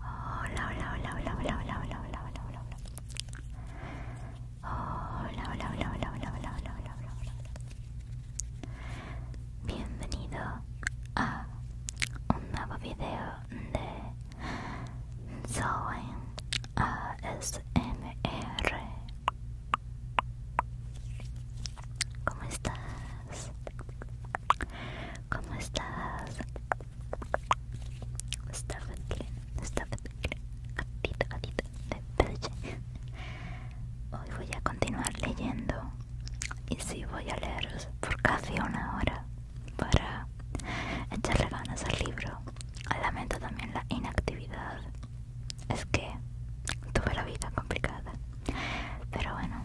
Hola, hola, hola, hola, hola, hola, hola, hola, hola, hola, hola. Hola, hola, hola, hola, hola, Bienvenido a un nuevo video de ¿Cómo estás? ¿Cómo estás? bien, bien. de Hoy voy a continuar leyendo y sí voy a leeros por casi una hora para echarle ganas al libro. Lamento también la inactividad es que tuve la vida complicada. Pero bueno,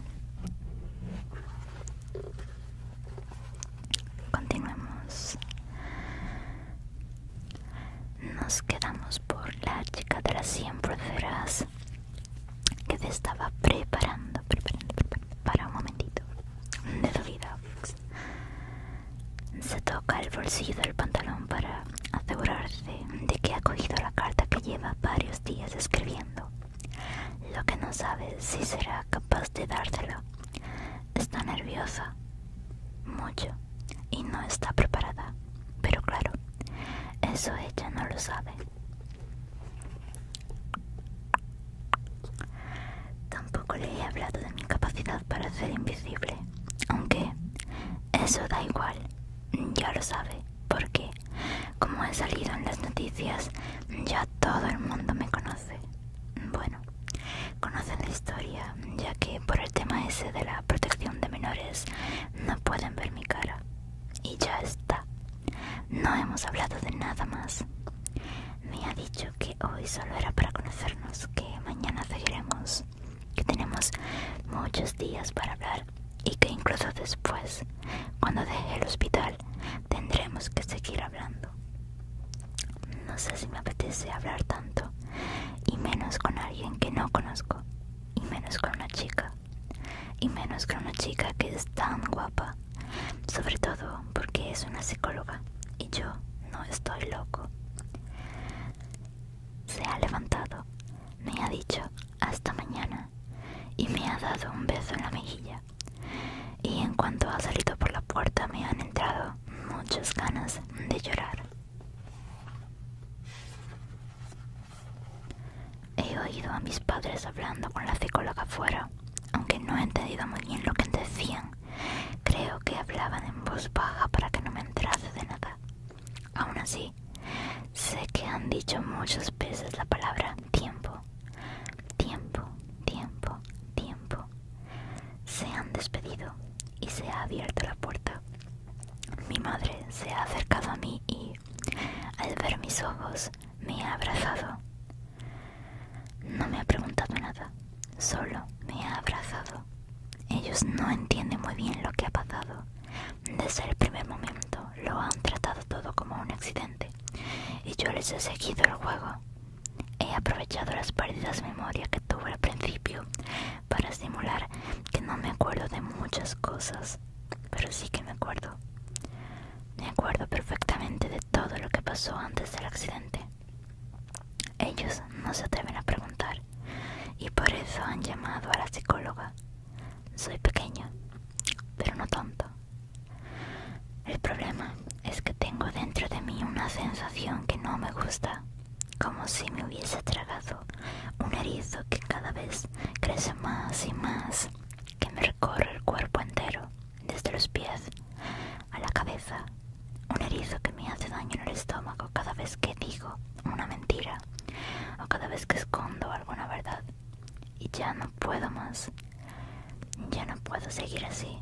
continuemos. Nos quedamos por la chica de las 100 pulseras que te estaba preparando, para un momentito de tu vida. Se toca el bolsillo del pantalón para asegurarse de que ha cogido la carta que lleva varios días escribiendo. Lo que no sabe si será capaz de dársela. Está nerviosa, mucho, y no está preparada. Pero claro, eso ella no lo sabe. Tampoco le he hablado de mi capacidad para ser invisible, aunque eso da igual, ya lo sabe porque, como he salido en las noticias, ya todo el mundo me conoce. Bueno, conocen la historia, ya que por el tema ese de la protección de menores no pueden ver mi cara. Y ya está. No hemos hablado de nada más. Me ha dicho que hoy solo era para conocernos, que mañana seguiremos que tenemos muchos días para hablar y que incluso después, cuando deje el hospital, tendremos que seguir hablando. No sé si me apetece hablar tanto, y menos con alguien que no conozco, y menos con una chica, y menos con una chica que es tan guapa, sobre todo porque es una psicóloga y yo no estoy loco. Se ha levantado, me ha dicho, hasta mañana y me ha dado un beso en la mejilla. Y en cuanto ha salido por la puerta me han entrado muchas ganas de llorar. He oído a mis padres hablando con la psicóloga afuera, aunque no he entendido muy bien lo que decían. Creo que hablaban en voz baja para que no me entrase de nada. Aún así, sé que han dicho muchas veces la palabra tiempo, tiempo, tiempo, tiempo. Se han despedido y se ha abierto la puerta. Mi madre se ha acercado a mí y, al ver mis ojos, me ha abrazado. No me ha preguntado nada, solo me ha abrazado. Ellos no entienden muy bien lo que ha pasado, desde el primer momento lo han tratado todo como un accidente y yo les he seguido el juego. He aprovechado las pérdidas de memoria que tuve al principio para simular que no me acuerdo de muchas cosas, pero sí que me acuerdo. Me acuerdo perfectamente de todo lo que pasó antes del accidente. Ellos no se atreven a preguntar y por eso han llamado a la psicóloga. Soy pequeña, pero no tonto. El problema es que tengo dentro de mí una sensación que no me gusta, como si me hubiese tragado un erizo que cada vez crece más y más, que me recorre el cuerpo entero, desde los pies a la cabeza. Un erizo que me hace daño en el estómago cada vez que digo una mentira o cada vez que escondo alguna verdad. Y ya no puedo más. Ya no puedo seguir así.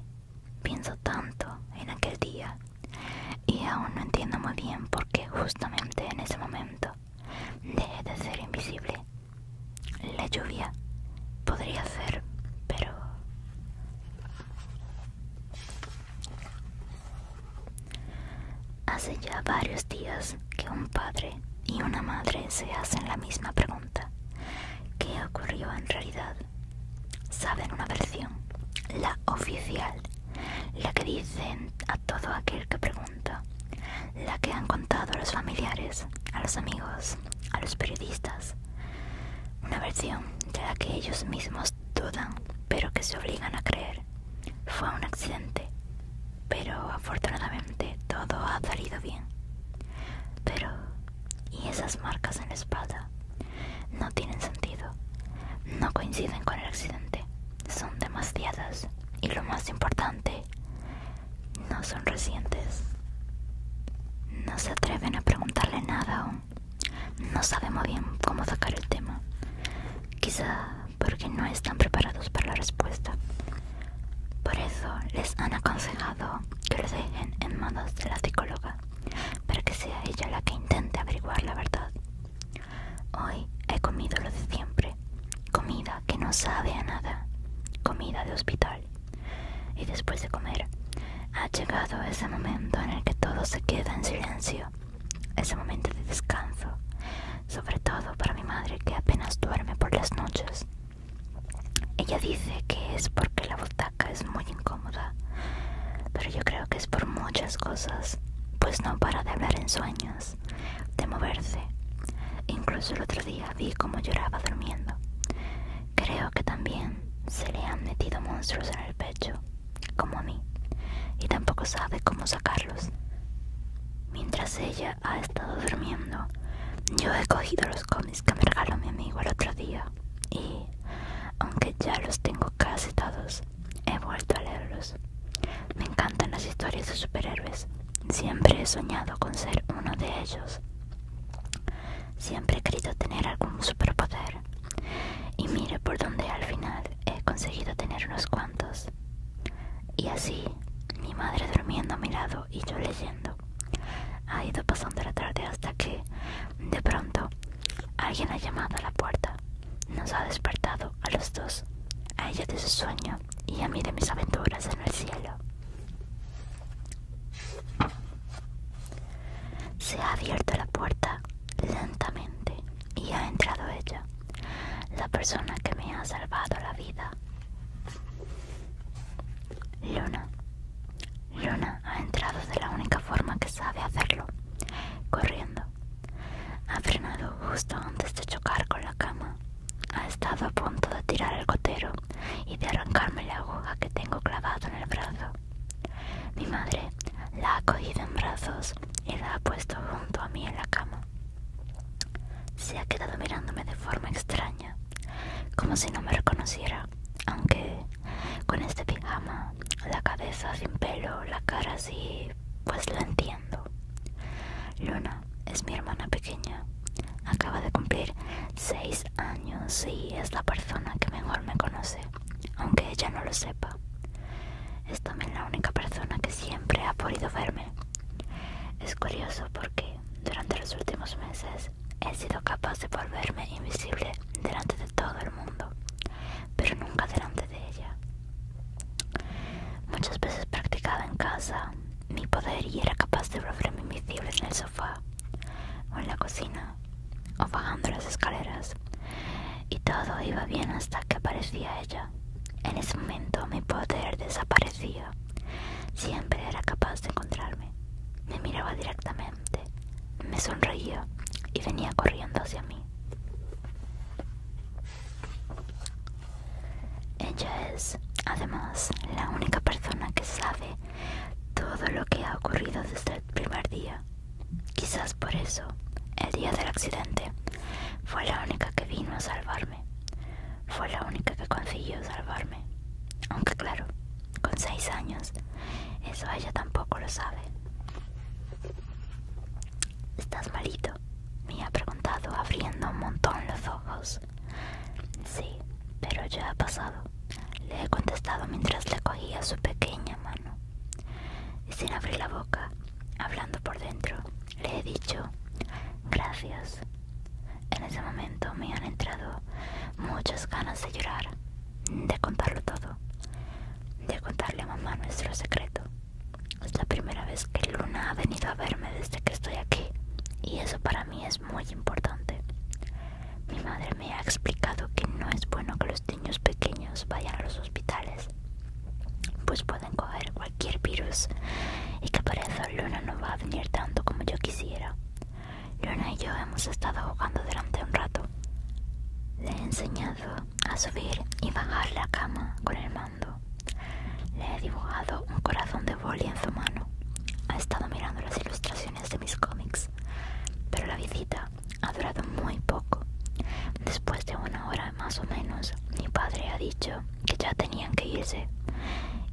Pienso tanto en aquel día. Y aún no entiendo muy bien por qué justamente en ese momento dejé de ser invisible. La lluvia podría ser, pero... Hace ya varios días que un padre y una madre se hacen la misma pregunta. ¿Qué ocurrió en realidad? Saben una versión, la oficial, la que dicen a todo aquel que pregunta, la que han contado a los familiares, a los amigos, a los periodistas. Una versión de la que ellos mismos dudan, pero que se obligan a creer fue un accidente, pero afortunadamente todo ha salido bien. Pero, ¿y esas marcas en la espalda? No tienen sentido, no coinciden con el accidente, son demasiadas y lo más importante, no son recientes. No se atreven a preguntarle nada aún. No sabemos bien cómo sacar el tema. Quizá porque no están preparados para la respuesta. Por eso les han aconsejado que lo dejen en manos de la psicóloga, para que sea ella la que intente averiguar la verdad. Hoy he comido lo de siempre, comida que no sabe a nada, comida de hospital. Y después de comer, ha llegado ese momento en el que todo se queda en silencio, ese momento de descanso, sobre todo para mi madre que apenas duerme por las noches. Ella dice que es porque la butaca es muy incómoda, pero yo creo que es por muchas cosas, pues no para de hablar en sueños, de moverse. Incluso el otro día vi cómo lloraba durmiendo. Creo que también se le han metido monstruos en el pecho, como a mí, y tampoco sabe cómo sacarlos. Mientras ella ha estado durmiendo, yo he cogido los cómics que me regaló mi amigo el otro día y, aunque ya los tengo casi todos, he vuelto a leerlos. Me encantan las historias de superhéroes. Siempre he soñado con ser uno de ellos. Siempre he querido tener algún superpoder. Y mire por dónde al final he conseguido tener unos cuantos. Y así, mi madre durmiendo a mi lado y yo leyendo. Ha ido pasando la tarde hasta que, de pronto, alguien ha llamado a la puerta. Nos ha despertado a los dos, a ella de su sueño y a mí de mis aventuras en el cielo. Se ha abierto la puerta lentamente y ha entrado ella la persona que me ha salvado la vida. Luna. Luna ha entrado de la única forma que sabe hacerlo, corriendo. Ha frenado justo antes de chocar con la cama. Ha estado a punto de tirar el gotero y de arrancarme la aguja que tengo clavado en el brazo. Mi madre la ha cogido en brazos y la ha puesto junto a mí en la cama. Se ha quedado mirándome de forma extraña, como si no me reconociera, aunque con este pijama, la cabeza sin pelo, la cara así, pues lo entiendo. Luna es mi hermana pequeña, acaba de cumplir seis años y es la persona que mejor me conoce, aunque ella no lo sepa. Es también la única persona que siempre ha podido verme es curioso porque durante los últimos meses he sido capaz de volverme invisible delante de todo el mundo, pero nunca delante de ella. Muchas veces practicaba en casa mi poder y era capaz de volverme invisible en el sofá o en la cocina o bajando las escaleras y todo iba bien hasta que aparecía ella. En ese momento mi poder desapareció. Siempre era capaz de encontrarme. Me miraba directamente, me sonreía y venía corriendo hacia mí. Ella es, además, la única persona que sabe todo lo que ha ocurrido desde el primer día. Quizás por eso, el día del accidente, fue la única que vino a salvarme fue la única que consiguió salvarme. Aunque claro, con seis años, eso ella tampoco lo sabe. ¿Estás malito? Me ha preguntado abriendo un montón los ojos. Sí, pero ya ha pasado. Le he contestado mientras le cogía su pequeña mano. Y sin abrir la boca, hablando por dentro, le he dicho, gracias. En ese momento me han entrado muchas ganas de llorar, de contarlo todo, de contarle a mamá nuestro secreto. Es la primera vez que Luna ha venido a verme desde que estoy aquí y eso para mí es muy importante. Mi madre me ha explicado que no es bueno que los niños pequeños vayan a los hospitales, pues pueden coger virus y que por eso Luna no va a venir tanto como yo quisiera. Luna y yo hemos estado jugando durante un rato. Le he enseñado a subir y bajar la cama con el mando. Le he dibujado un corazón de boli en su mano. Ha estado mirando las ilustraciones de mis cómics. Pero la visita ha durado muy poco. Después de una hora más o menos, mi padre ha dicho que ya tenían que irse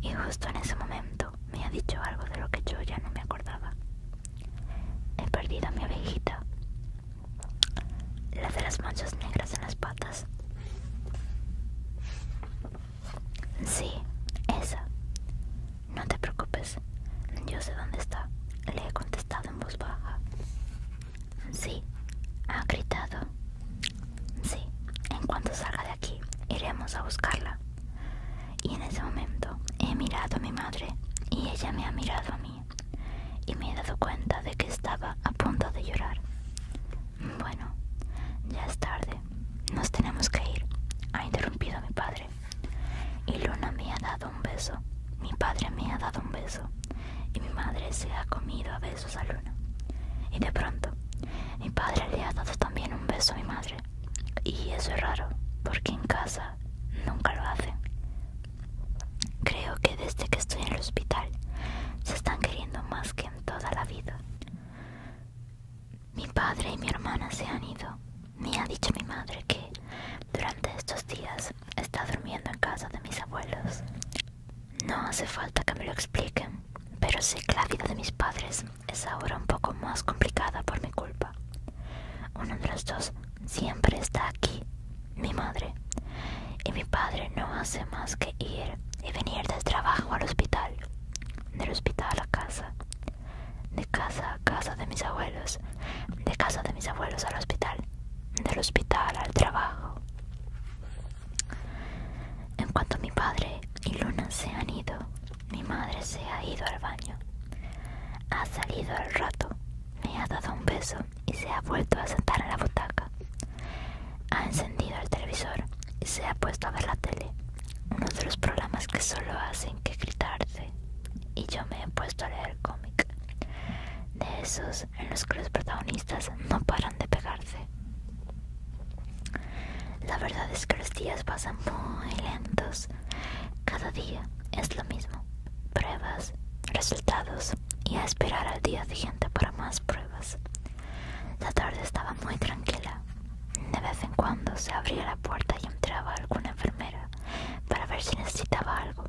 y justo en ese momento me ha dicho algo de lo que yo ya no me acordaba. He perdido a mi abejita, la de las manchas negras en las patas. Sí, esa. No te preocupes, yo sé dónde está. Le he contestado en voz baja. Sí, ha gritado. Sí, en cuanto salga de aquí, iremos a buscarla. Y en ese momento he mirado a mi madre y ella me ha mirado a mí y me he dado cuenta de que estaba a punto de llorar. Bueno, ya es tarde, nos tenemos que ir, ha interrumpido mi padre. Y Luna me ha dado un beso, mi padre me ha dado un beso y mi madre se ha comido a sus alumnos Y de pronto, mi padre le ha dado también un beso a mi madre. Y eso es raro, porque en casa nunca lo hacen. Creo que desde que estoy en el hospital se están queriendo más que en toda la vida. Mi padre y mi hermana se han ido. Me ha dicho mi madre que durante estos días está durmiendo en casa de mis abuelos no hace falta que me lo expliquen, pero sé que la vida de mis padres es ahora un poco más complicada por mi culpa. Uno de los dos siempre está aquí, mi madre, y mi padre no hace más que ir y venir del trabajo al hospital, del hospital a casa, de casa a casa de mis abuelos, de casa de mis abuelos al hospital, del hospital al trabajo. En cuanto mi padre y Luna se han ido, mi madre se ha ido al baño. Ha salido al rato, me ha dado un beso y se ha vuelto a sentar en la butaca. Ha encendido el televisor y se ha puesto a ver la tele, uno de los programas que solo hacen que gritarse. Y yo me he puesto a leer cómic, de esos en los que los protagonistas no paran de pegarse. La verdad es que los días pasan muy lentos. Cada día es lo mismo. Pruebas, resultados y a esperar al día siguiente para más pruebas. La tarde estaba muy tranquila. De vez en cuando se abría la puerta y entraba alguna enfermera para ver si necesitaba algo,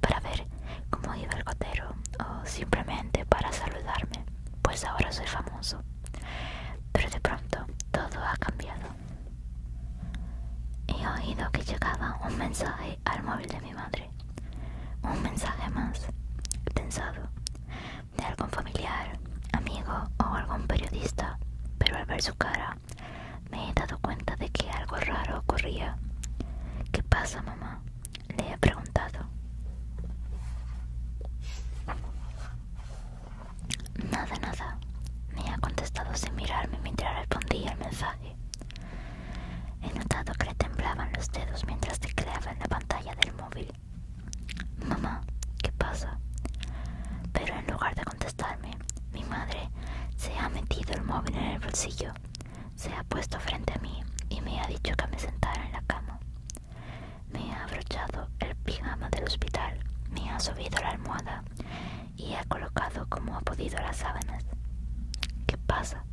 para ver cómo iba el gotero o simplemente para saludarme, pues ahora soy famoso. Pero de pronto todo ha cambiado. He oído que llegaba un mensaje al móvil de mi madre. Un mensaje más pensado de algún familiar, amigo o algún periodista. Pero al ver su cara me he dado cuenta de que algo raro ocurría. ¿Qué pasa, mamá? Le he preguntado. Nada, nada. Me ha contestado sin mirarme mientras respondía el mensaje. He notado que le temblaban los dedos mientras tecleaba en la pantalla del móvil. Mamá, ¿qué pasa? Pero en lugar de contestarme, mi madre se ha metido el móvil en el bolsillo, se ha puesto frente a mí y me ha dicho que me sentara en la cama. Me ha abrochado el pijama del hospital, me ha subido la almohada y ha colocado como ha podido las sábanas. ¿Qué pasa?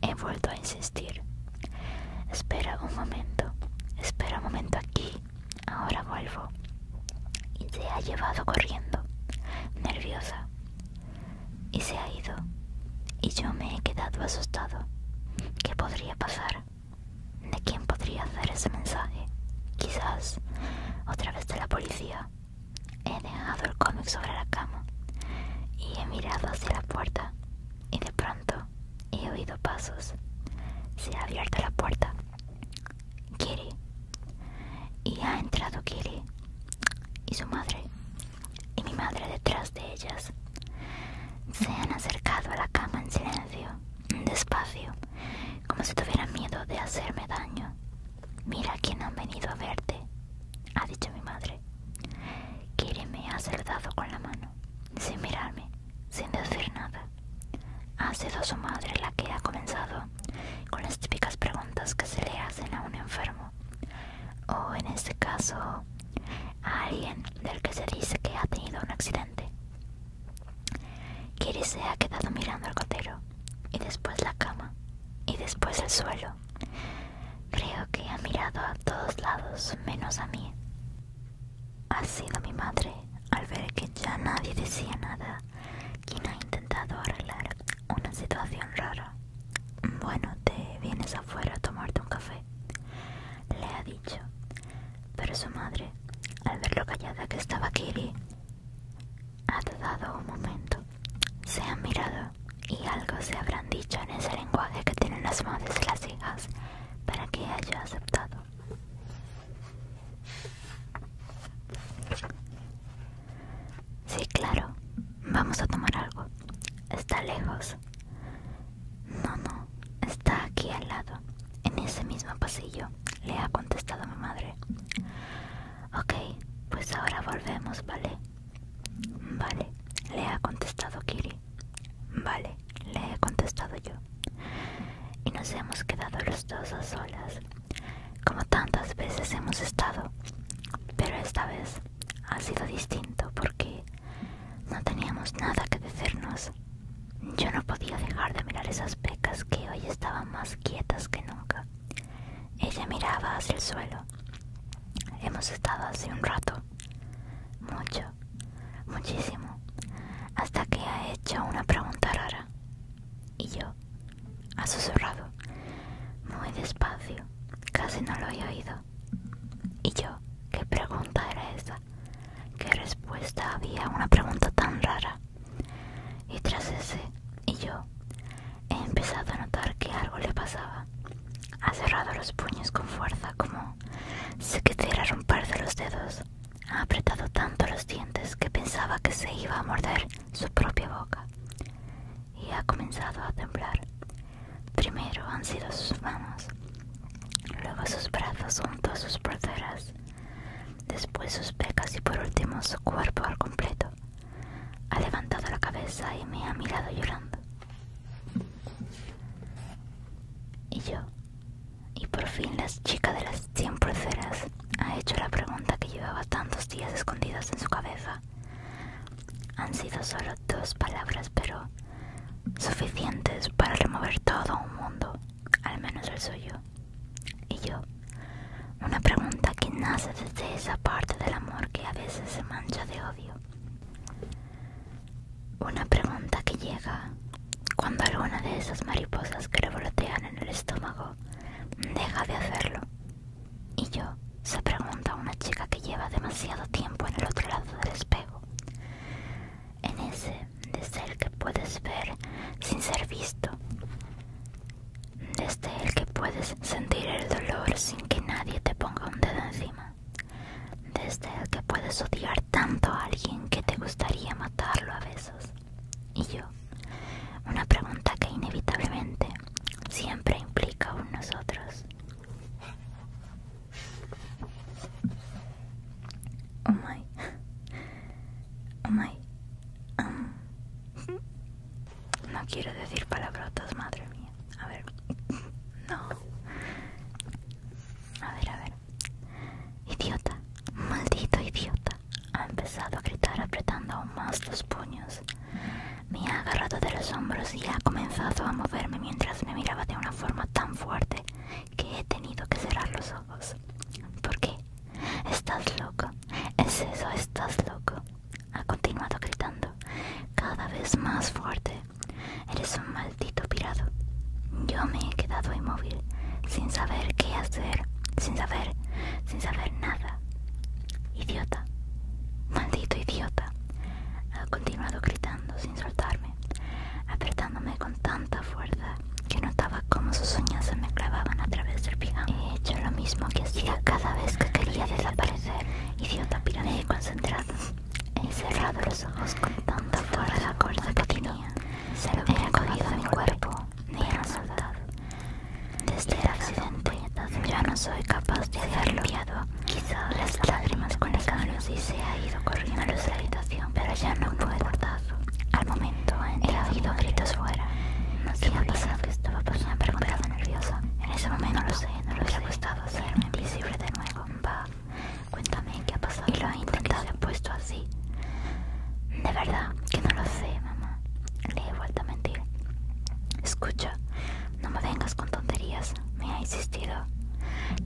He vuelto a insistir. Espera un momento, espera un momento aquí, ahora vuelvo. Y se ha llevado corriendo, nerviosa. Y se ha ido. Y yo me he quedado asustado. ¿Qué podría pasar? de quién podría hacer ese mensaje. Quizás otra vez de la policía. He dejado el cómic sobre la cama y he mirado hacia la puerta y de pronto he oído pasos. Se ha abierto la puerta. Kitty. Y ha entrado Kitty y su madre y mi madre detrás de ellas se han acercado a la cama en silencio, despacio, como si tuvieran miedo de hacerme daño. Mira quién han venido a verte, ha dicho mi madre. quiere me ha saludado con la mano, sin mirarme, sin decir nada. Ha sido su madre la que ha comenzado con las típicas preguntas que se le hacen a un enfermo, o en este caso, a alguien del que se dice que ha tenido un accidente quiere se ha quedado mirando el gotero, y después la cama, y después el suelo. Creo que ha mirado a todos lados menos a mí. Ha sido mi madre, al ver que ya nadie decía nada, quien ha intentado arreglar una situación rara. Bueno, te vienes afuera a tomarte un café. Le ha pero su madre, al ver lo callada que estaba Kiri, ha dado un momento. Se han mirado y algo se habrán dicho en ese lenguaje que tienen las madres y las hijas para que haya aceptado. Sí, claro. Vamos a tomar algo. Está lejos no, no, está aquí al lado, en ese mismo pasillo, le ha contestado mi madre. Ok, pues ahora volvemos, ¿vale? Vale, le ha contestado Kiri. Vale, le he contestado yo. Y nos hemos quedado los dos a solas, como tantas veces hemos estado. Pero esta vez ha sido distinto porque no teníamos nada que decirnos. Yo no podía dejar de mirar esas pecas que hoy estaban más quietas que nunca. Ella miraba hacia el suelo. Hemos estado hace un rato. Mucho. Muchísimo. Hasta que ha hecho una pregunta rara. Y yo. Ha susurrado. Muy despacio. Casi no lo he oído. Y yo. ¿Qué pregunta era esa? ¿Qué respuesta había a una pregunta tan rara? Y tras ese, y yo, he empezado a notar que algo le pasaba. Ha cerrado los puños con fuerza como si quisiera romper los dedos. Ha apretado tanto los dientes que pensaba que se iba a morder su propia boca. Y ha comenzado a temblar. Primero han sido sus manos luego sus brazos junto a sus proceras, después sus pecas y por último su cuerpo al completo. Ha levantado la cabeza y me ha mirado llorando. Y yo, y por fin la chica de las cien proceras ha hecho la pregunta que llevaba tantos días escondidas en su cabeza. Han sido solo dos palabras, pero suficientes para remover todo un mundo, al menos el suyo. Y yo, una pregunta que nace desde esa parte del amor que a veces se mancha de odio. Una pregunta que llega cuando alguna de esas mariposas que revolotean en el estómago deja de hacerlo. Y yo, se pregunta a una chica que lleva demasiado tiempo en el otro lado del espejo en ese desde el que puedes ver sin ser visto, desde el que puedes sentir el dolor sin que nadie te ponga un dedo encima, desde el que puedes odiar tanto a alguien que te gustaría matarlo a besos. Y yo, una pregunta que inevitablemente siempre implica un nosotros. Oh my. Oh my. Um. No quiero decir palabrotas, madre mía. A ver. No. A ver, a ver. Idiota. Maldito idiota. Ha empezado a gritar apretando aún más los puños. Me ha agarrado de los hombros y ha comenzado a moverme mientras me miraba de una forma tan fuerte que he tenido que cerrar los ojos. ¿Por qué? Estás loco. Es eso, estás loco. Ha continuado gritando, cada vez más fuerte. Eres un maldito pirado. Yo me he quedado inmóvil, sin saber qué hacer, sin saber, sin saber nada. Idiota. Maldito idiota. Ha continuado gritando sin soltarme, apretándome con tanta fuerza que notaba cómo sus uñas se me clavaban a través del pijama. He hecho lo mismo que hacía cada vez que quería desaparecer. Idiota pirámide he concentrado. He cerrado los ojos con tanta fuerza la que tenía. Se lo cogido a mi cuerpo. Me este era soltado. Desde el accidente ya no soy capaz de hacerlo. Quizá las lágrimas con el calor y se ha ido corriendo de la habitación, pero ya no fue cortar. Al momento he oído gritos fuera. No sé qué ha pasado, que estaba pasando, preguntado nerviosa. En ese momento no lo sé, no lo ha hacerme invisible de nuevo. Va, cuéntame qué ha pasado. Y lo ha intentado, se ha puesto así. De verdad, que no lo sé, mamá. Le he vuelto a mentir. Escucha, no me vengas con tonterías. Me ha insistido.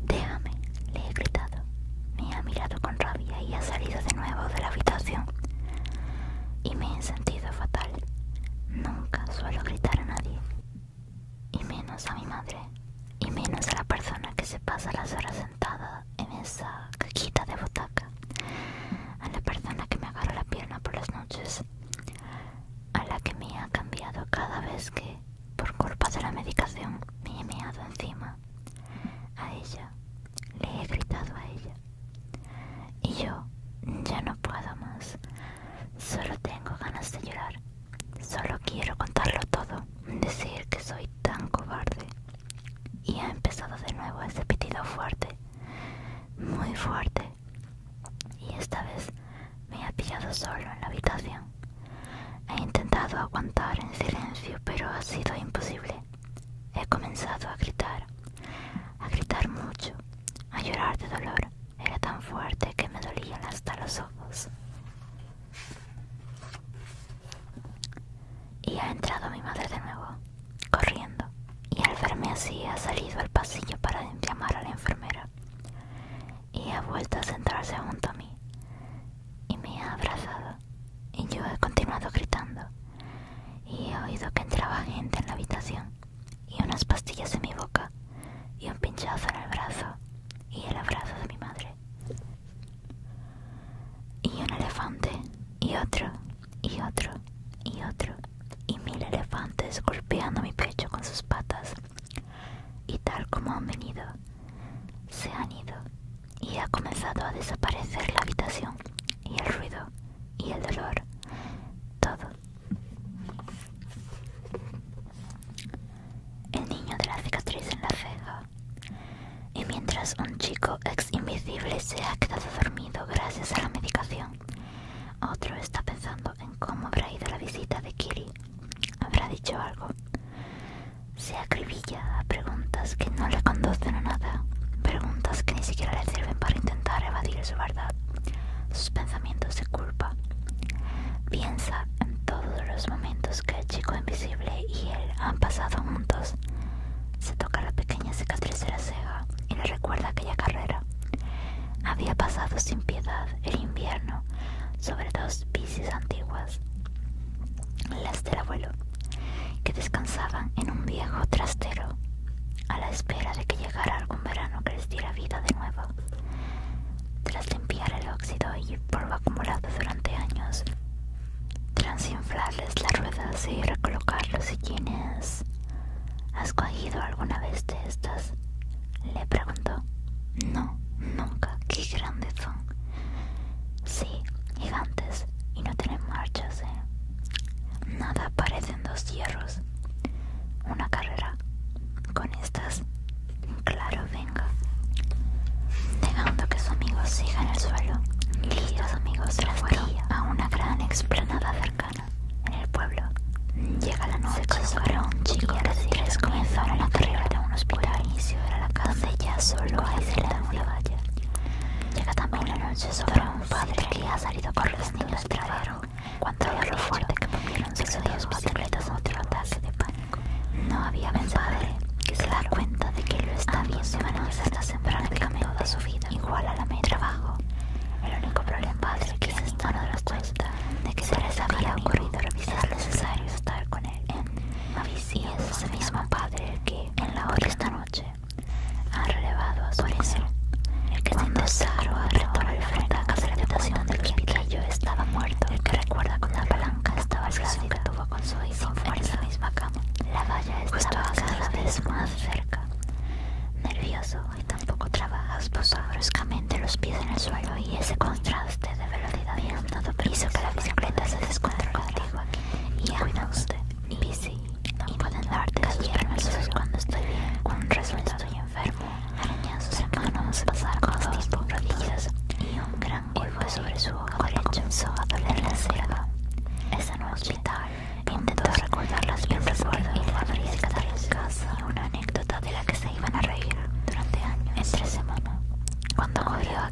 Déjame, le he gritado. Me ha mirado con rabia y ha salido de nuevo de la habitación. Y me he sentido fatal. Nunca suelo gritar a nadie. Y menos a mi madre. Y menos a la persona que se pasa las horas sentada en esa cajita de butaca. A la persona que me agarra la pierna por las noches. A la que me ha cambiado cada vez que, por culpa de la medicación, me he meado encima a ella, le he gritado a ella. Y yo ya no puedo más. Solo tengo ganas de llorar. Solo quiero contarlo todo. Decir que soy tan cobarde. Y ha empezado de nuevo ese pitido fuerte. Muy fuerte. Y esta vez me ha pillado solo en la habitación. He intentado aguantar en silencio, pero ha sido imposible. He comenzado a gritar, a gritar mucho, a llorar de dolor. Era tan fuerte que me dolían hasta los ojos. Y ha entrado mi madre de nuevo, corriendo, y al verme así ha salido al pasillo para llamar a la enfermera. Y ha vuelto a sentarse junto a mí, y me ha abrazado y yo he continuado gritando y he oído que entraba gente en la habitación y unas pastillas en mi boca y un pinchazo en el brazo y el abrazo de mi madre y un elefante y otro y otro y otro y mil elefantes golpeando mi pecho con sus patas y tal como han venido se han ido y ha comenzado a desaparecer la habitación y el ruido y el dolor, todo. El niño de la cicatriz en la ceja. Y mientras un chico ex invisible se ha quedado dormido gracias a la medicación, otro está pensando en cómo habrá ido la visita de Kiri. Habrá dicho algo se acribilla a preguntas que no le conducen a nada, preguntas que ni siquiera le sirven para intentar evadir su verdad, sus pensamientos de culpa. Piensa en todos los momentos que el chico invisible y él han pasado juntos. Se toca la pequeña cicatriz de la ceja y le recuerda aquella carrera. Había pasado sin piedad el invierno sobre dos bicis antiguas, las del abuelo que descansaban en un viejo trastero a la espera de que llegara algún verano que les diera vida de nuevo. Tras limpiar el óxido y polvo acumulado durante años, tras inflarles las ruedas y recolocar los sillines, ¿has cogido alguna vez de estas? Le preguntó. No, nunca. Qué grandes son. Sí, gigantes y no tienen marchas, ¿eh? Nada parecen dos hierros. Una carrera con estas. Claro, venga. Negando que su amigo siga en el suelo, Y los amigos se fueron a una gran explanada cercana. En el pueblo, llega la noche, se un chico y a comenzaron la carrera de un hospital. inicio era la casa, ya solo hay da una valla. Llega también una noche sobre un padre que ha salido con los niños del Cuando lo fuerte que comieron sus dos bicicletas, otro de pánico. No había un padre que se da cuenta de que lo está viendo el camino toda su vida, igual a la media trabajo. El único problema es que se está dando cuenta de que se les había ocurrido revisar. Es necesario estar con él en y es ese mismo Padre que en la hora de esta noche ha relevado a su Por el que cuando Saro al frente a casa de la habitación del yo estaba muerto, el que recuerda con la palanca estaba el que tuvo con su hijo en esa misma cama. La valla estaba cada vez más cerca. Nervioso y tampoco trabajas, posó bruscamente los pies en el suelo y ese contraste de velocidad y hizo que la bicicleta se descontrolara y cuida usted y, si no pueden darte sus permisos cuando estoy bien resfriado estoy enfermo arañan sus hermanos pasar cosas por y un gran golpe sobre su ojo derecho comenzó a doler la es esa y hospital intentó recordar las veces cuando la en casa una anécdota de la que se iban a reír durante años entre semana cuando corrió a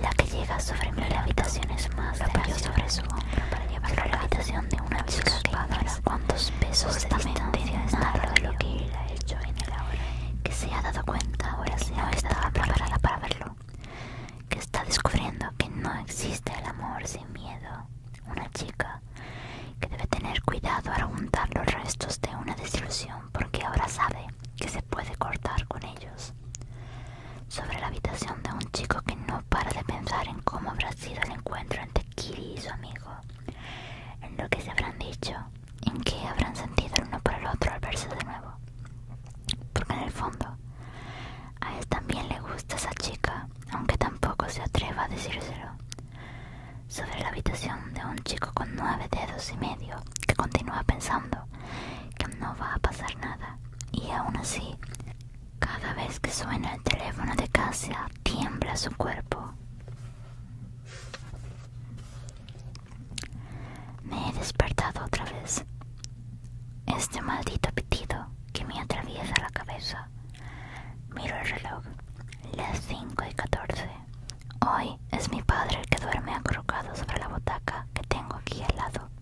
La que llega sobre sufrir la habitación es más sobre su hombro para llevarlo a la habitación de una chica que cuántos pesos se es nada de lo que él ha hecho en el ahora. Que se ha dado cuenta ahora se no estaba preparada para verlo. Que está descubriendo que no existe el amor sin miedo. Una chica que debe tener cuidado al juntar los restos de una desilusión porque ahora sabe que se puede cortar con ellos sobre la habitación de un chico que no para de pensar en cómo habrá sido el encuentro entre Kiri y su amigo, en lo que se habrán dicho, en qué habrán sentido el uno por el otro al verse de nuevo. Porque en el fondo, a él también le gusta esa chica, aunque tampoco se atreva a decírselo. Sobre la habitación de un chico con nueve dedos y medio que continúa pensando que no va a pasar nada y aún así, cada vez que suena el teléfono de casa, tiembla su cuerpo. Me he despertado otra vez. Este maldito pitido que me atraviesa la cabeza. Miro el reloj. Las 5 y 14. Hoy es mi padre el que duerme acurrucado sobre la butaca que tengo aquí al lado.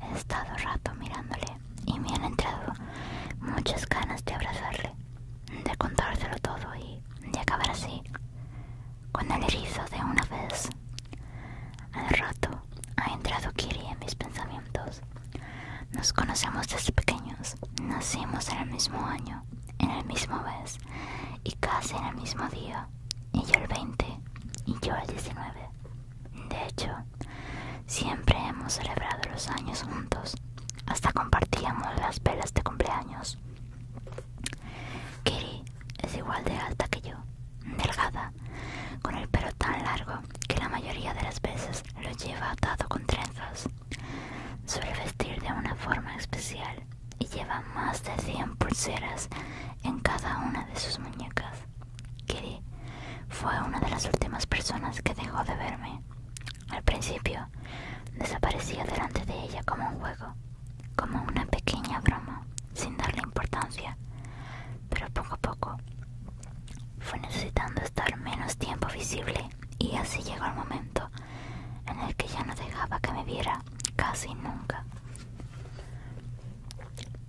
He estado rato mirándole y me han entrado muchas ganas de abrazarle, de contárselo todo y de acabar así, con el erizo de una vez. Al rato ha entrado Kiri en mis pensamientos. Nos conocemos desde pequeños, nacimos en el mismo año, en el mismo mes y casi en el mismo día. Y yo el 20 y yo el 19. De hecho, siempre hemos celebrado los años juntos. Hasta compartíamos las velas de cumpleaños. Kiri es igual de alta que yo, delgada, con el pelo tan largo que la mayoría de las veces lo lleva atado con trenzas. Suele vestir de una forma especial y lleva más de 100 pulseras en cada una de sus muñecas. Kiri fue una de las últimas personas que dejó de verme. Al principio, desaparecía delante de ella como un juego, como una pequeña broma, sin darle importancia. Pero poco a poco, fue necesitando estar menos tiempo visible y así llegó el momento en el que ya no dejaba que me viera casi nunca.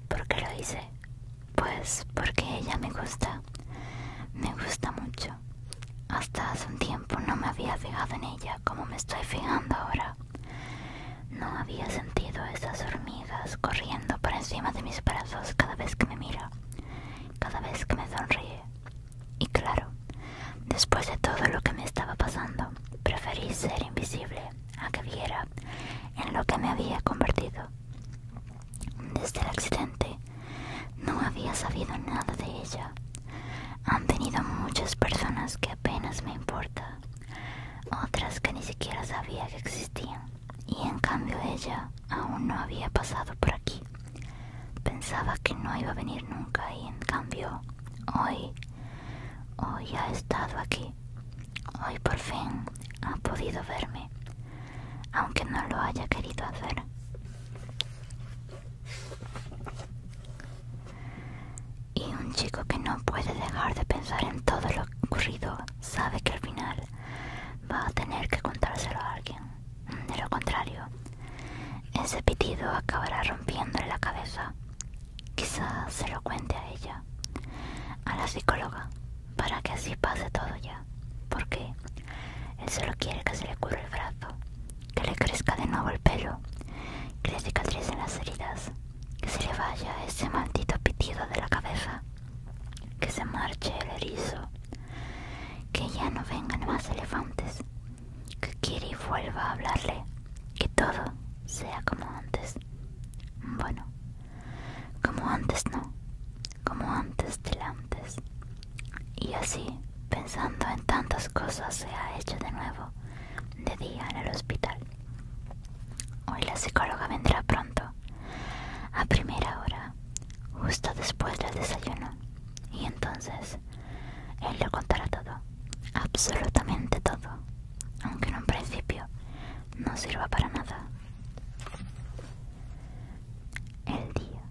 ¿Por qué lo hice? Pues porque ella me gusta, me gusta mucho. Hasta hace un tiempo no me había fijado en ella como me estoy fijando ahora. No había sentido esas hormigas corriendo por encima de mis brazos cada vez que me mira, cada vez que me sonríe. Y claro, después de todo lo que me estaba pasando, preferí ser invisible a que viera en lo que me había convertido. Desde el accidente no había sabido nada de ella. Han venido muchas personas que apenas me importa, otras que ni siquiera sabía que existían, y en cambio ella aún no había pasado por aquí. Pensaba que no iba a venir nunca y en cambio hoy, hoy ha estado aquí. Hoy por fin ha podido verme, aunque no lo haya querido hacer. Y un chico que no puede dejar de pensar en todo lo ocurrido sabe que al final va a tener que contárselo a alguien. De lo contrario, ese pitido acabará rompiéndole la cabeza. Quizás se lo cuente a ella a la psicóloga, para que así pase todo ya, porque él solo quiere que se le cure el brazo, que le crezca de nuevo el pelo, que le cicatricen las heridas, que se le vaya ese maldito pitido de la cabeza, que se marche el erizo, que ya no vengan más elefantes, que Kiri vuelva a hablarle, que todo sea como antes. Bueno, como antes no, como antes del antes. Y así, pensando en tantas cosas, se ha hecho de nuevo, de día en el hospital. Hoy la psicóloga vendrá pronto, a primera hora, justo después del desayuno. Y entonces, él le contará todo, absolutamente todo, aunque en un principio no sirva para nada. El día.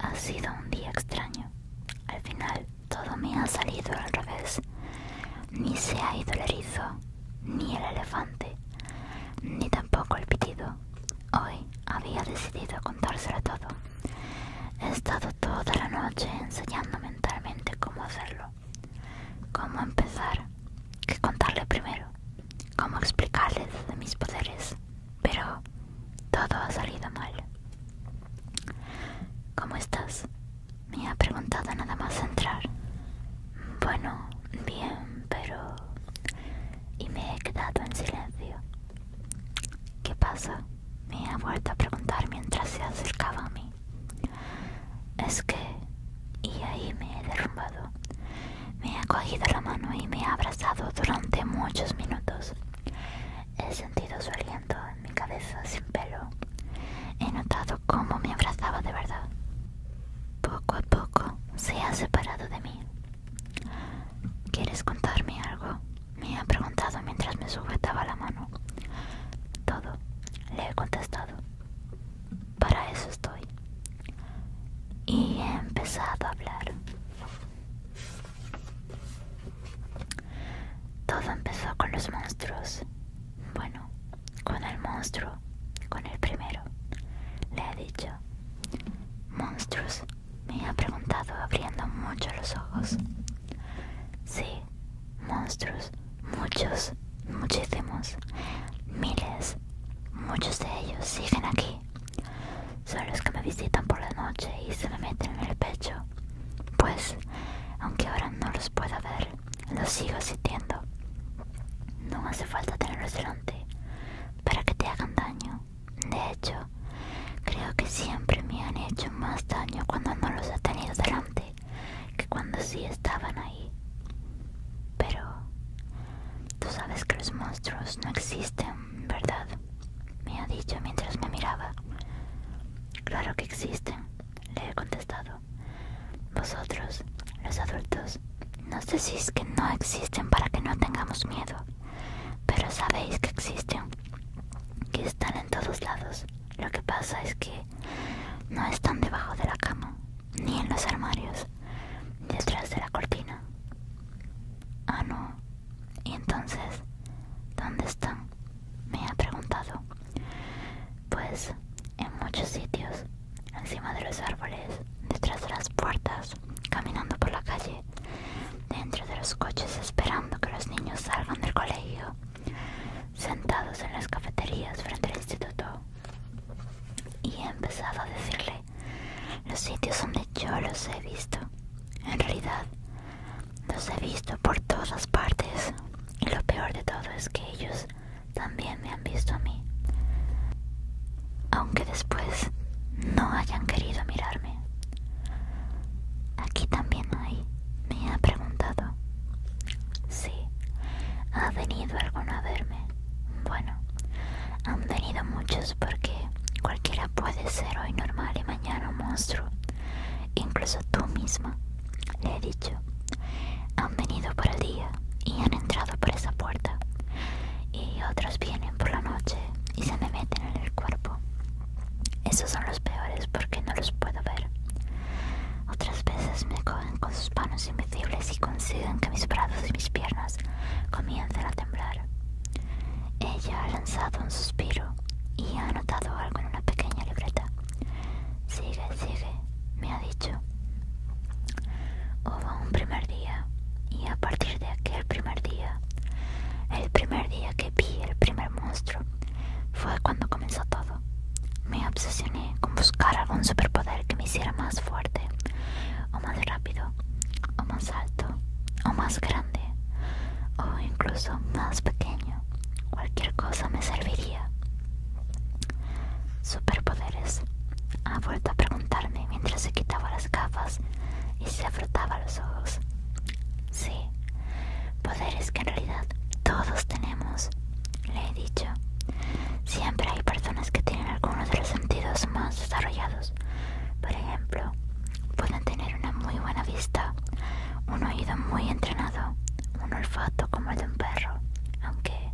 Ha sido un día extraño. Al final todo me ha salido al revés. Ni se ha ido el erizo, ni el elefante, ni tampoco el pitido. Hoy había decidido contárselo todo. He estado toda la noche enseñando mentalmente cómo hacerlo. ¿Cómo empezar? ¿Qué contarle primero? ¿Cómo explicarles de mis poderes? Pero todo ha salido mal. ¿Cómo estás? Me ha preguntado nada más entrar. Bueno, bien, pero... Y me he quedado en silencio. ¿Qué pasa? Me ha vuelto a preguntar mientras se acercaba a mí. Es que... Y ahí me he derrumbado. Me ha cogido la mano y me ha abrazado durante muchos minutos. He sentido su aliento en mi cabeza sin pelo. He notado cómo me abrazaba de verdad. Poco a poco se ha separado de mí. ¿Quieres contarme algo? Me ha preguntado mientras me sujetaba la mano. Todo, le he contestado para eso estoy. Y he empezado a hablar. Todo empezó con los monstruos. Bueno, con el monstruo, con el primero. Le he dicho, monstruos, me ha preguntado abriendo mucho los ojos. Sí, monstruos, muchos, muchísimos, miles, muchos de ellos siguen aquí. Son los que me visitan por la noche y se me meten en el pecho. Pues, aunque ahora no los pueda ver, los sigo sintiendo. No hace falta tenerlos delante para que te hagan daño. De hecho, creo que siempre me han hecho más daño cuando no los he tenido delante que cuando sí estaban ahí. Pero tú sabes que los monstruos no existen, ¿verdad? Me ha dicho mientras me miraba. Claro que existen, le he contestado. Vosotros, los adultos, nos decís que no existen para que no tengamos miedo, pero sabéis que existen, que están en todos lados. Lo que pasa es que no están debajo de la cama, ni en los armarios, detrás de la cortina. Ah, no. ¿Y entonces? ¿Dónde están? Me ha preguntado. Pues en muchos sitios, encima de los árboles, detrás de las puertas, caminando por la calle, dentro de los coches esperando que los niños salgan del colegio, sentados en las cafeterías frente al instituto, y he empezado a decirle los sitios donde yo los he visto. En realidad, los he visto por todas partes y lo peor de todo es que ellos también me han visto a mí. Aunque después no hayan querido mirarme. Aquí también hay, me ha preguntado. Sí, ha venido alguno a verme. Bueno, han venido muchos porque cualquiera puede ser hoy normal y mañana un monstruo. Incluso tú misma, le he dicho. Han venido por el día y han entrado por esa puerta. Y otros vienen por la noche y se me meten en el cuerpo. Esos son los peores porque no los puedo ver. Otras veces me cogen con sus manos invisibles y consiguen que mis brazos y mis piernas comiencen a temblar. Ella ha lanzado un suspiro y ha anotado algo en una pequeña libreta. Sigue, sigue, me ha dicho. Hubo un primer día y a partir de aquel primer día, el primer día que vi el primer monstruo, fue cuando comenzó todo me obsesioné con buscar algún superpoder que me hiciera más fuerte, o más rápido, o más alto, o más grande, o incluso más pequeño. Cualquier cosa me serviría. Superpoderes. Ha vuelto a preguntarme mientras se quitaba las gafas y se frotaba los ojos. Sí, poderes que en realidad todos tenemos le he dicho, siempre hay personas que tienen algunos de los sentidos más desarrollados. Por ejemplo, pueden tener una muy buena vista, un oído muy entrenado, un olfato como el de un perro, aunque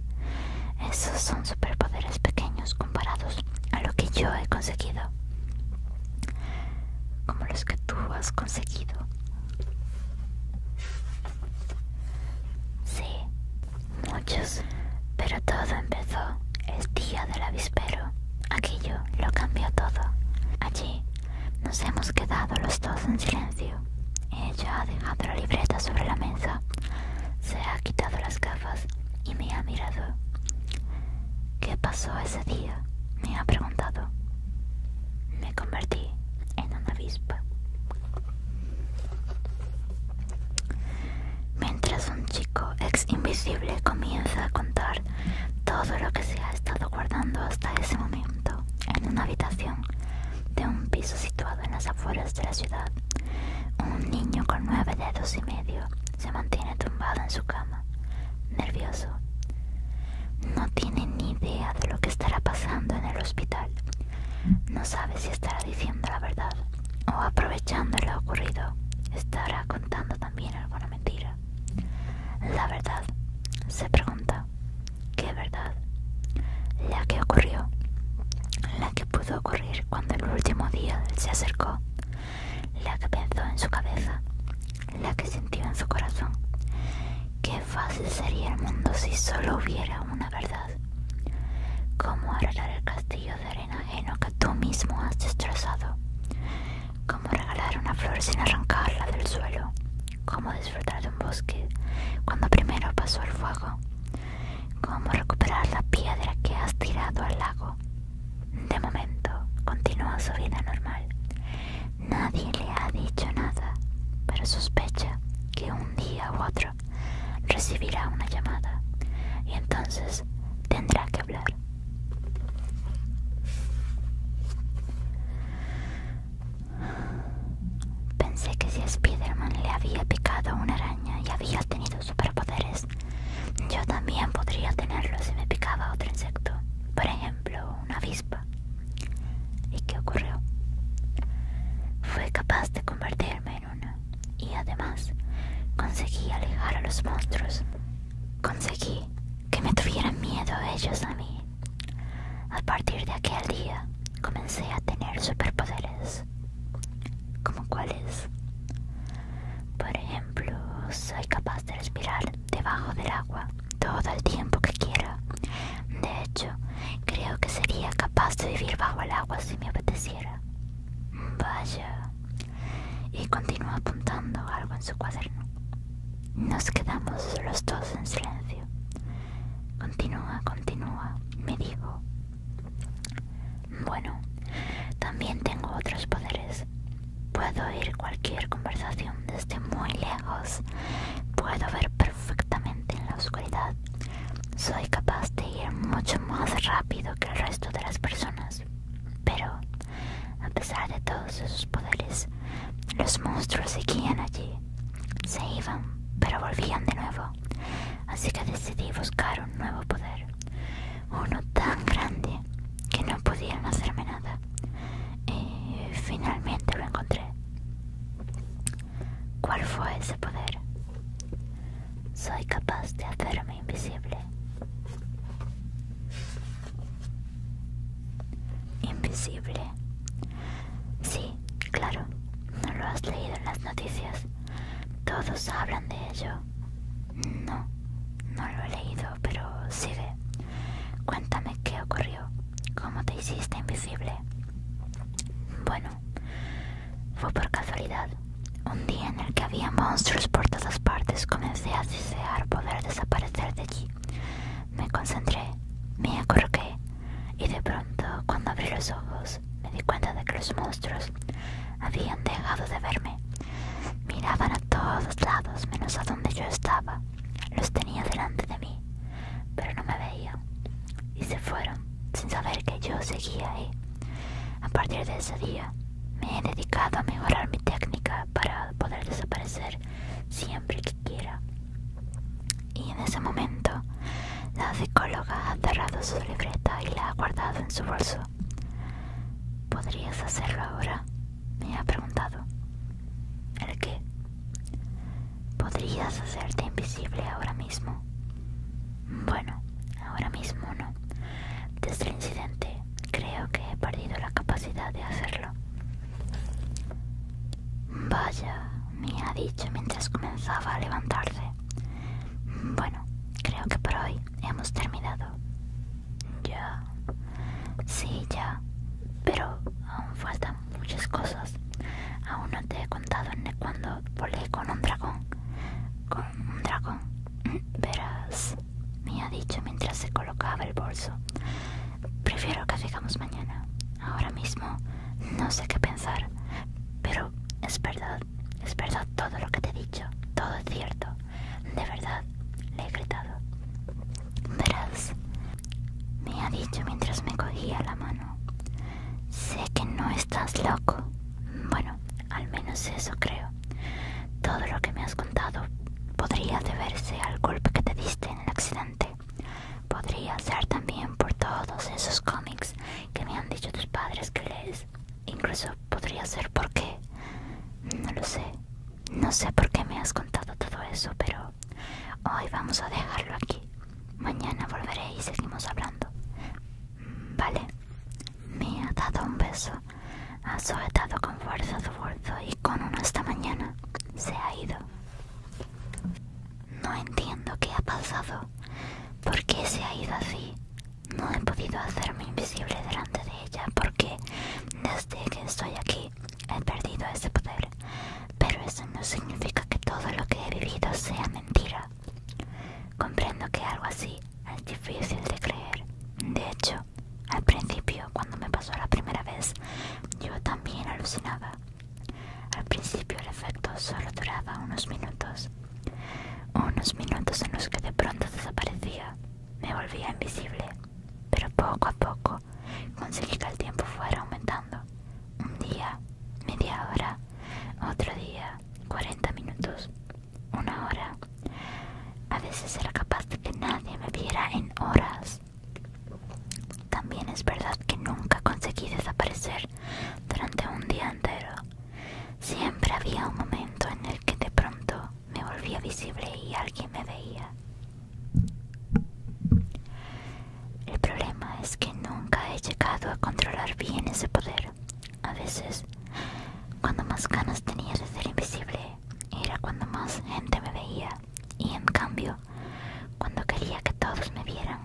esos son superpoderes pequeños comparados a lo que yo he conseguido, como los que tú has conseguido. Sí, muchos, pero todo empezó el día del avispero. Aquello lo cambió todo. Allí nos hemos quedado los dos en silencio. Ella ha dejado la libreta sobre la mesa, se ha quitado las gafas y me ha mirado. ¿Qué pasó ese día? Me ha preguntado. Me convertí en una avispa. Mientras un chico ex invisible comienza a contar todo lo que se ha estado guardando hasta ese momento en una habitación de un piso situado en las afueras de la ciudad, un niño con nueve dedos y medio se mantiene tumbado en su cama, nervioso. No tiene ni idea de lo que estará pasando en el hospital no sabe si estará diciendo la verdad o aprovechando lo ocurrido, estará contando también alguna mentira. La verdad, se pregunta, ¿qué verdad? La que ocurrió, la que pudo ocurrir cuando el último día se acercó, la que pensó en su cabeza, la que sintió en su corazón. Qué fácil sería el mundo si solo hubiera una verdad. Cómo arreglar el castillo de arena ajeno que tú mismo has destrozado. Cómo regalar una flor sin arrancarla del suelo. Cómo disfrutar de un bosque cuando primero pasó el fuego. Cómo recuperar la piedra que has tirado al lago. De momento, continúa su vida normal. Nadie le ha dicho nada, pero sospecha que un día u otro recibirá una llamada y entonces tendrá que hablar. Pensé que si Spiderman le había picado una araña y había tenido superpoderes, yo también podría tenerlo si me picaba otro insecto, por ejemplo, una avispa. ¿Y qué ocurrió? Fue capaz de convertirme y además, conseguí alejar a los monstruos. Conseguí que me tuvieran miedo ellos a mí. A partir de aquel día, comencé a tener superpoderes. ¿Como cuáles? Por ejemplo, soy capaz de respirar debajo del agua todo el tiempo que quiera. De hecho, creo que sería capaz de vivir bajo el agua si me apeteciera. Vaya, Y continúa apuntando algo en su cuaderno. Nos quedamos los dos en silencio. Continúa, continúa, me dijo. Bueno, también tengo otros poderes. Puedo oír cualquier conversación desde muy lejos. Puedo ver perfectamente en la oscuridad. Soy capaz de ir mucho más rápido que el resto de las personas, pero a pesar de todos esos poderes, los monstruos seguían allí. Se iban, pero volvían de nuevo, así que decidí buscar un nuevo poder, uno tan grande que no pudieron hacerme nada. Y finalmente lo encontré. ¿Cuál fue ese poder? Soy capaz de hacerme invisible. Invisible. Sí, claro. No lo has leído en las noticias. Todos hablan de ello. No, no lo he leído, pero sigue. Cuéntame qué ocurrió. ¿Cómo te hiciste invisible? Bueno, fue por casualidad. Un día en el que había monstruos por todas partes, comencé a desear poder desaparecer de allí. Me concentré, me acurruqué y de pronto, cuando abrí los ojos, me di cuenta de que los monstruos habían dejado de verme. Miraban a todos lados menos a donde yo estaba. Los tenía delante de mí, pero no me veían y se fueron sin saber que yo seguía ahí. A partir de ese día me he dedicado a mejorar mi técnica para poder desaparecer siempre que quiera. Y en ese momento la psicóloga ha cerrado su libreta y la ha guardado en su bolso. ¿Podrías hacerlo ahora? Me ha preguntado. ¿El qué? ¿Podrías hacerte invisible ahora mismo? Bueno, ahora mismo no. Desde el incidente creo que he perdido la capacidad de hacerlo. Vaya, me ha dicho mientras comenzaba a levantarse. Bueno, creo que por hoy hemos terminado. Ya. Sí, ya. Pero aún faltan muchas cosas. Aún no te he contado cuando volé con un dragón un dragón. Verás, me ha dicho mientras se colocaba el bolso. Prefiero que sigamos mañana. Ahora mismo no sé qué pensar. Pero es verdad, es verdad todo lo que te he dicho. Todo es cierto. De verdad, le he gritado. Verás, me ha dicho mientras me cogía la mano. Sé que no estás loco. Bueno, al menos eso creo. Todo lo que me has contado podría deberse al golpe que te diste en el accidente. Podría ser también por todos esos cómics que me han dicho tus padres que lees. Incluso podría ser porque... No lo sé. No sé por qué me has contado todo eso, pero hoy vamos a dejarlo aquí. Mañana volveré y seguimos hablando. Vale, me ha dado un beso, ha sujetado con fuerza su bolso y con una esta mañana se ha ido. No entiendo qué ha pasado, por qué se ha ido así. No he podido hacerme invisible delante de ella porque desde que estoy aquí he perdido ese poder. Pero eso no significa que todo lo que he vivido sea mentira. Comprendo que algo así es difícil de creer. De hecho, al principio, cuando me pasó la primera vez, yo también alucinaba. Al principio el efecto solo duraba unos minutos. Unos minutos en los que de pronto desaparecía. Me volvía invisible. Pero poco a poco conseguí que el tiempo fuera aumentando. Un día, media hora, otro día, 40 minutos, una hora. A veces era capaz de que nadie me viera en horas. También es verdad que nunca conseguí desaparecer durante un día entero. Siempre había un momento en el que de pronto me volvía visible y alguien me veía. El problema es que nunca he llegado a controlar bien ese poder. A veces, cuando más ganas tenía de ser invisible, era cuando más gente me veía. Y en cambio, cuando quería que todos me vieran,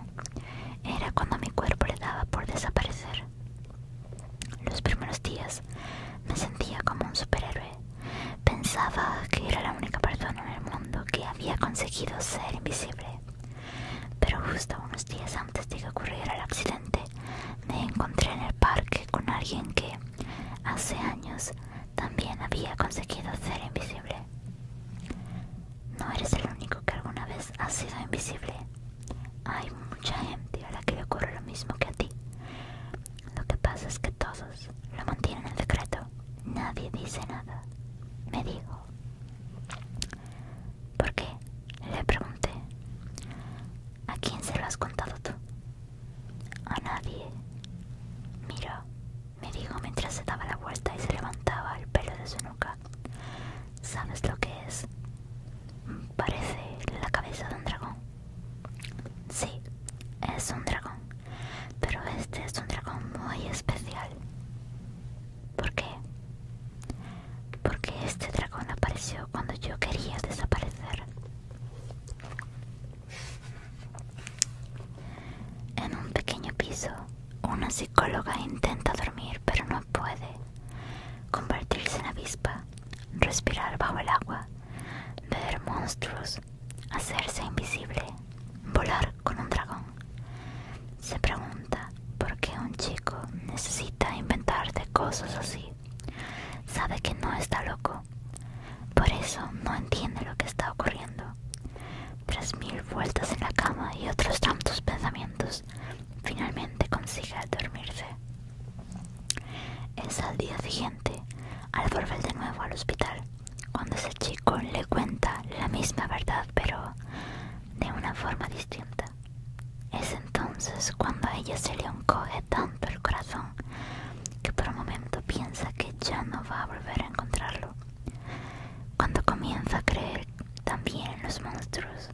era cuando mi cuerpo le daba por desaparecer. Los primeros días me sentía como un superhéroe. Pensaba que era la única persona en el mundo que había conseguido ser invisible. Pero justo unos días antes de que ocurriera el accidente, me encontré en el parque con alguien que hace años también había conseguido ser invisible. No eres el único que alguna vez ha sido invisible. Hay mucha gente a la que le ocurre lo mismo que a ti. Lo que pasa es que todos lo mantienen en secreto. Nadie dice nada. Me dijo. ¿Por qué? Le pregunté. ¿A quién se lo has contado tú? A nadie. Mira, me dijo mientras se daba la vuelta y se levantaba el pelo de su nuca. ¿Sabes lo que es? Parece la cabeza de un dragón. Sí, es un dragón. Pero este es un dragón muy especial. ¿Por qué? porque este dragón apareció cuando yo quería desaparecer. En un pequeño piso, una psicóloga intenta dormir pero no puede. Convertirse en avispa, respirar bajo el agua, ver monstruos, hacerse invisible, volar con un dragón. Se pregunta por qué un chico necesita inventar cosas así. Sabe que no está loco. Por eso no entiende lo que está ocurriendo. Tras mil vueltas en la cama y otros tantos pensamientos, finalmente consigue dormirse. Es al día siguiente, al volver de nuevo al hospital, cuando ese chico le cuenta la misma verdad, pero de una forma distinta. Es entonces cuando a ella se le encoge tanto el corazón que por un momento piensa que ya no va a volver a encontrarlo. Cuando comienza a creer también en los monstruos,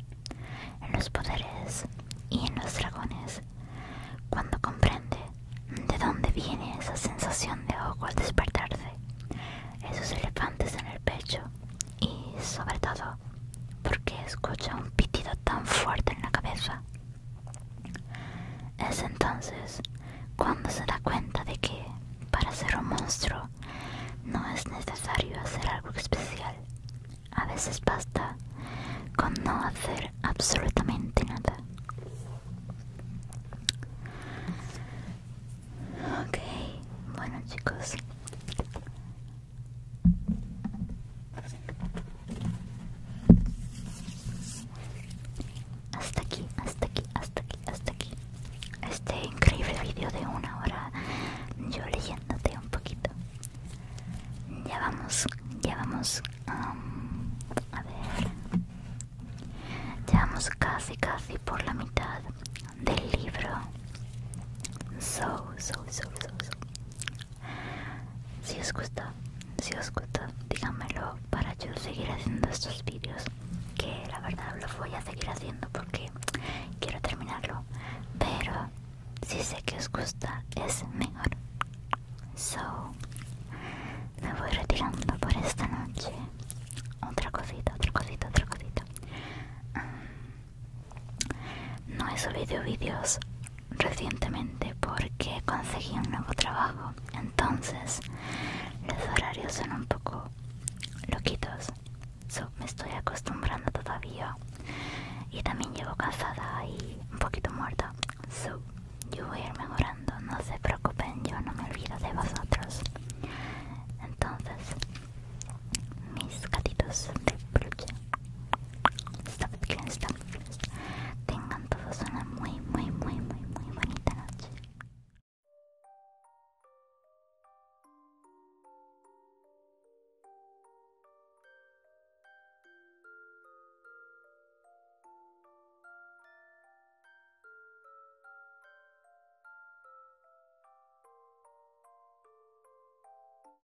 en los poderes y en los dragones, cuando comprende de dónde viene esa sensación de ojo al despertarse, esos elefantes en el pecho y sobre todo porque escucha un pitido tan fuerte en la cabeza. Es entonces cuando se da cuenta de que, para ser un monstruo, no es necesario hacer algo especial. A veces basta con no hacer absolutamente nada. Ok, bueno chicos, hasta aquí, hasta aquí, hasta aquí, hasta aquí. Este increíble vídeo de una hora, yo leyéndote un poquito. Ya vamos, ya vamos. Um, a ver. Ya vamos casi, casi por la mitad del libro. so, so, so, so. Si os gusta, si os gusta, díganmelo para yo seguir haciendo estos vídeos. Que la verdad lo voy a seguir haciendo porque quiero terminarlo. Pero si sé que os gusta, es mejor. So, me voy retirando por esta noche. Otra cosita, otra cosita, otra cosita. No he subido vídeos recientemente porque conseguí un nuevo trabajo, entonces los horarios son un poco loquitos. So, me estoy acostumbrando todavía y también llevo casada y un poquito muerta. So, yo voy a ir mejorando, no se preocupen, yo no me olvido de vosotros. Entonces, mis gatitos de peluche stop it, stop Tengan todos una muy, muy, muy, muy, muy bonita noche.